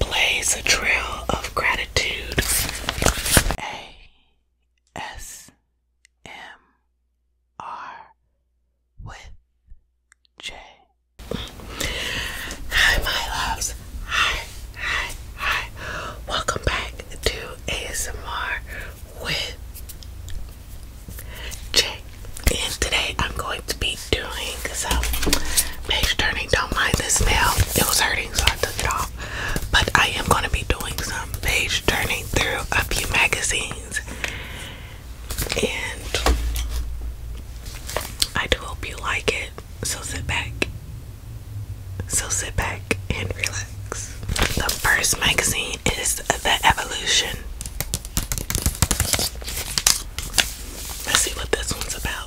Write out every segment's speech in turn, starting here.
Blaze a trail of gratitude. A S M R with J. Hi, my loves. Hi, hi, hi. Welcome back to ASMR with J. And today I'm going to be doing some page turning. Don't mind this nail, it was hurting, so I took it off. But I am going to be doing some page turning through a few magazines and I do hope you like it. So sit back. So sit back and relax. The first magazine is The Evolution. Let's see what this one's about.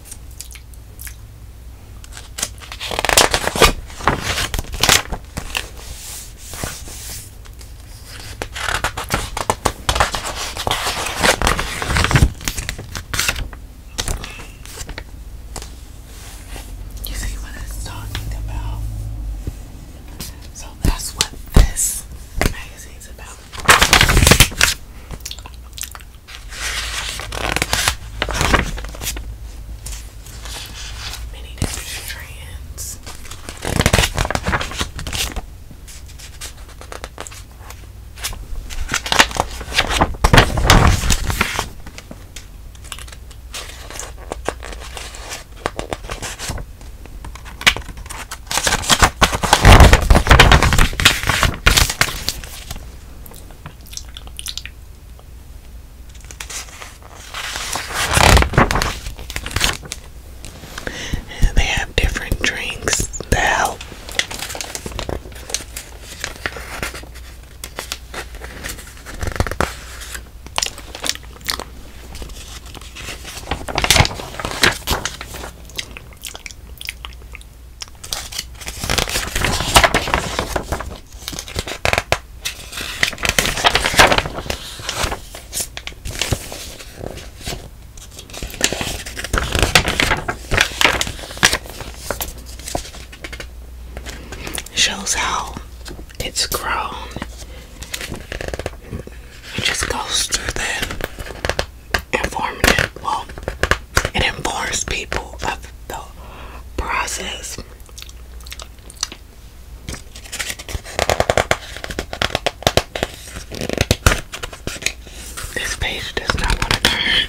You see what it's talking about? So that's what this magazine's about. Many different strands they have different drinks that Shows how it's grown. It just goes through the informative. Well, it informs people of the process. This page does not want to turn.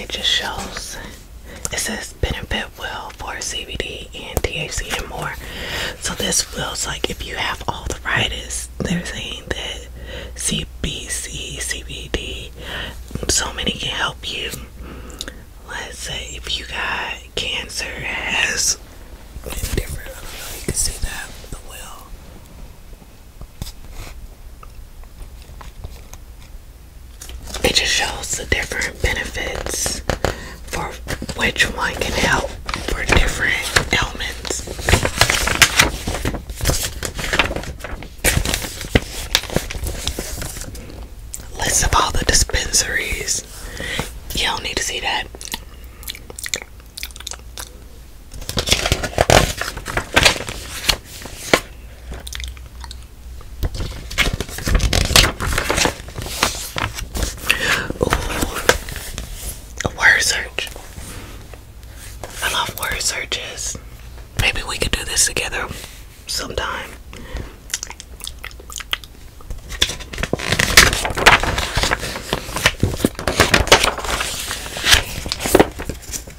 It just shows it says benefit will for CBD and THC and more. So this feels like if you have all the arthritis, they're saying that CBC, CBD, so many can help you. Let's say if you got cancer, has different. I don't know. You can see that the will it just shows the different benefits for which one can help for different ailments. List of all the dispensaries. You do need to see that a word search. I love word searches. Maybe we could do this together sometime.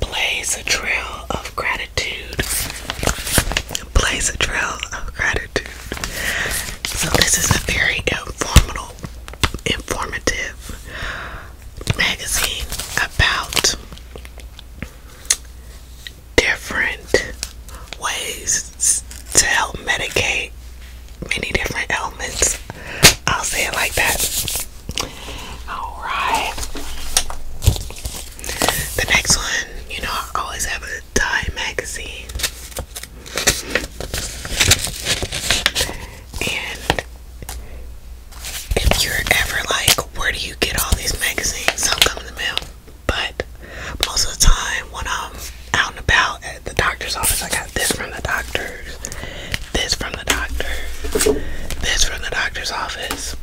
Plays a trail of gratitude. Plays a trail of gratitude. So this is a very informal, informative magazine about different ways to help medicate many different elements. I'll say it like that. All right. The next one, you know, I always have a Time magazine, and if you're ever like, where do you get all these magazines? Some come in the mail, but most of the time when I'm out and about at the doctor's office, I got this from the doctor's, this from the doctor, this from the doctor's office.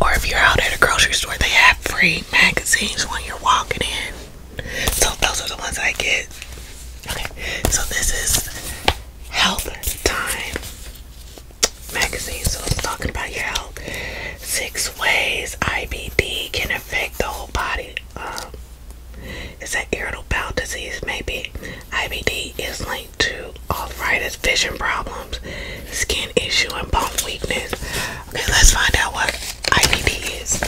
Or if you're out at a grocery store, they have free magazines when you're walking in. So those are the ones I get. Okay, so this is Health Time magazine. So it's talking about your health. Six ways IBD can affect the whole body. Is um, it's an irritable bowel disease, maybe. IBD is linked to arthritis, vision problems, skin issue, and bone weakness. Okay, let's find out what IBD is.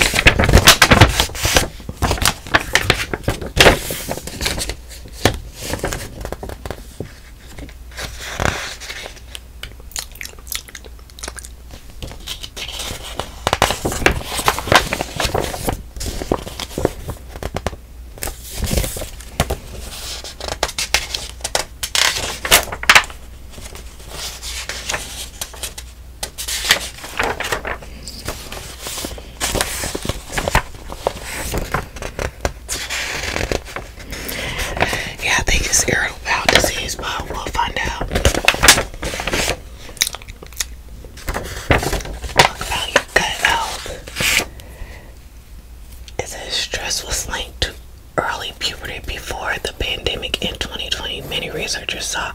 Yeah, I think it's irritable bowel disease, but we'll find out. Look oh, how you cut stress was linked to early puberty before the pandemic in 2020. Many researchers saw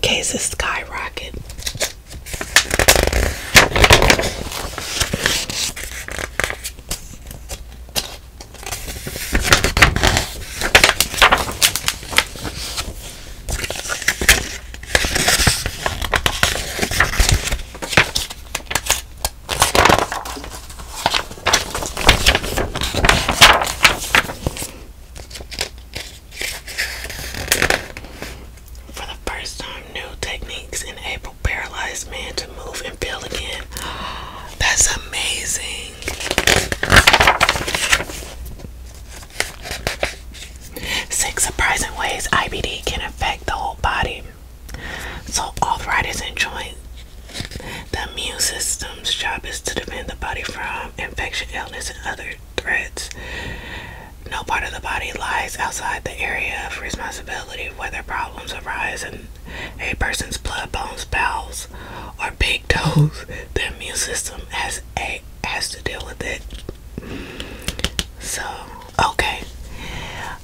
cases skyrocket. For the first time, new techniques enable paralyzed man to move and build again. That's amazing. Six surprising ways IBD can affect the whole body. So, arthritis and joint. The immune system's job is to defend the body from infection, illness, and other threats. No part of the body lies outside the area of responsibility, whether problems arise in a person's blood, bones, bowels, or big toes. The immune system has a has to deal with it. So, okay.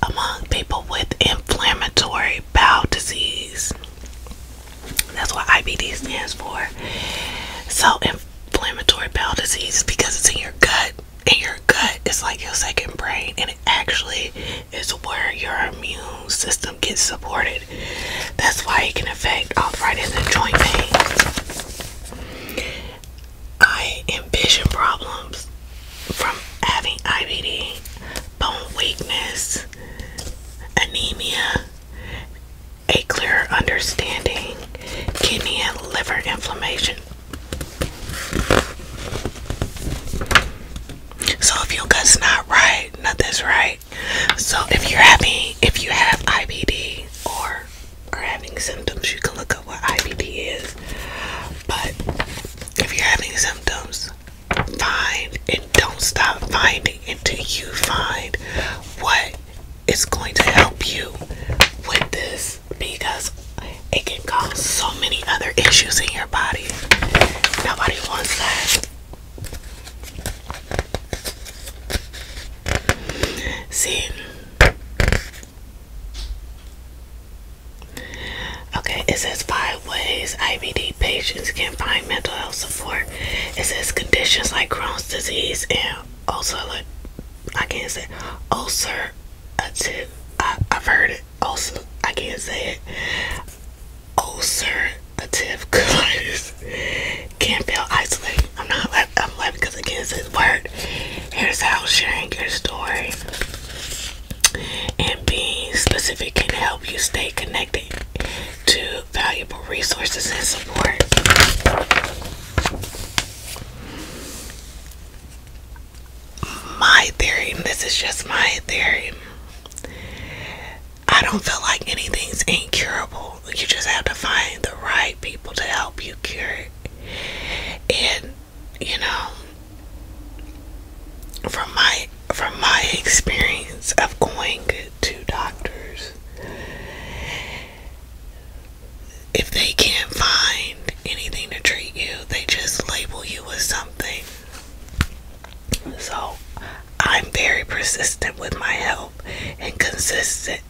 Among people with inflammatory bowel disease, that's what IBD stands for. So, inflammatory bowel disease is because it's in your gut, and your gut is like your second brain, and it actually is where your immune system gets supported. That's why it can affect arthritis and joint pain. I envision problems from having IBD, bone weakness, anemia, a clearer understanding, kidney and liver inflammation. So if your gut's not right, nothing's right. So if you're having, if you have IBD or are having symptoms, you can look up what IBD is. But if you're having symptoms, find and don't stop finding until you find what is going to help you with this because it can cause so many other issues in your body. Nobody wants that. See? Okay, it says five ways IBD patients can find mental health support. It says conditions like Crohn's disease and ulcer, I can't say ulcer, I, I've heard it, ulcer, I can't say it, ulcerative colitis can feel isolated I'm not left. I'm left because the against his word. Here's how sharing your story and being specific can help you stay connected to valuable resources and support. My theory, this is just my theory, I don't feel like anything's incurable. You just have to find the right people to help you cure it. And you know, from my from my experience of going to doctors, if they can't find anything to treat you, they just label you with something. So, I'm very persistent with my health myself and consistent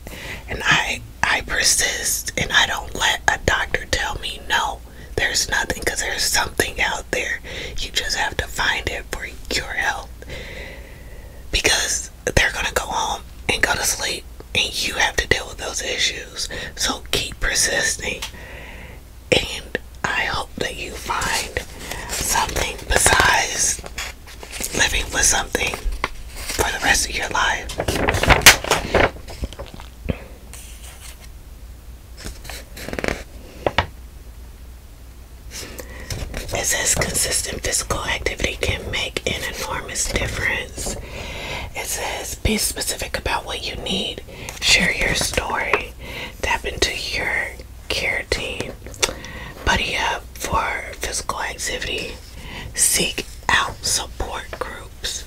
and I I persist and I don't let a doctor tell me no there's nothing because there's something out there you just have to find it for your health because they're gonna go home and go to sleep and you have to deal with those issues so keep persisting and I hope that you find something besides living with something for the rest of your life. It says consistent physical activity can make an enormous difference. It says be specific about what you need, share your story, tap into your Carotene. Buddy up for physical activity. Seek out support groups.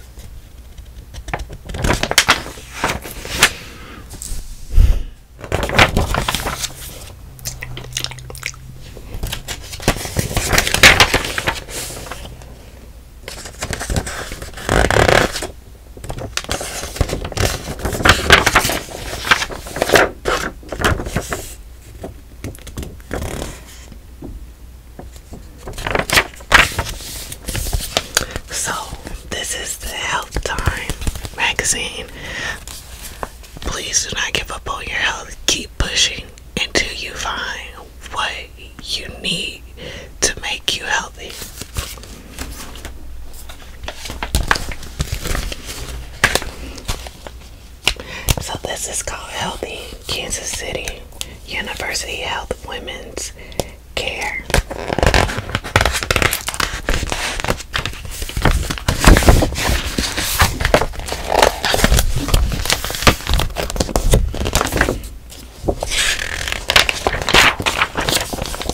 So, this is the Health Time magazine. Please do not give up on your health. Keep pushing until you find what you need to make you healthy. So this is called Healthy Kansas City University Health Women's Care.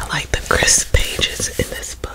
I like the crisp pages in this book.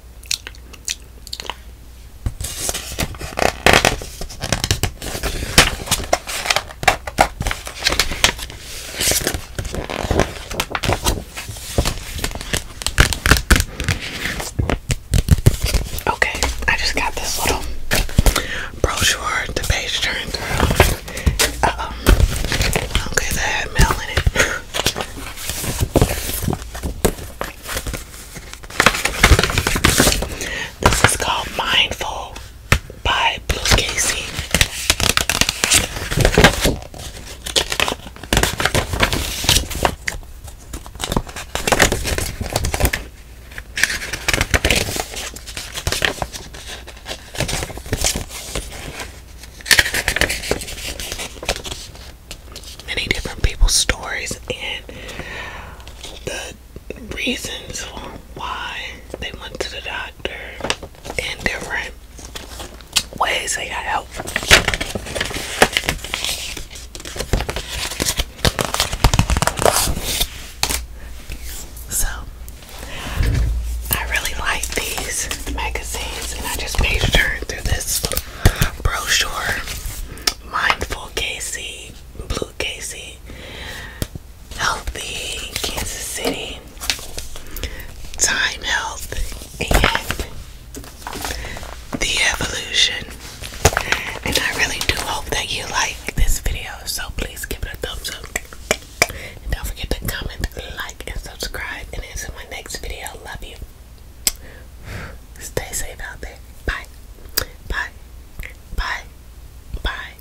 Okay, I just got this little brochure, the page turned through. Uh oh. Okay, that mail in it. This is called Mindful by Blue Casey many different people's stories and the reasons why they went to the doctor and different ways they got help. So I really like these magazines, and I just page turned through this brochure. Mindful Casey, Blue Casey, Healthy Kansas City, Time Health, and The Evolution. And I really do hope that you like this video, so please give it a thumbs up. And don't forget to comment, like, and subscribe. And until my next video, love you. Stay safe out there. Bye. Bye. Bye. Bye.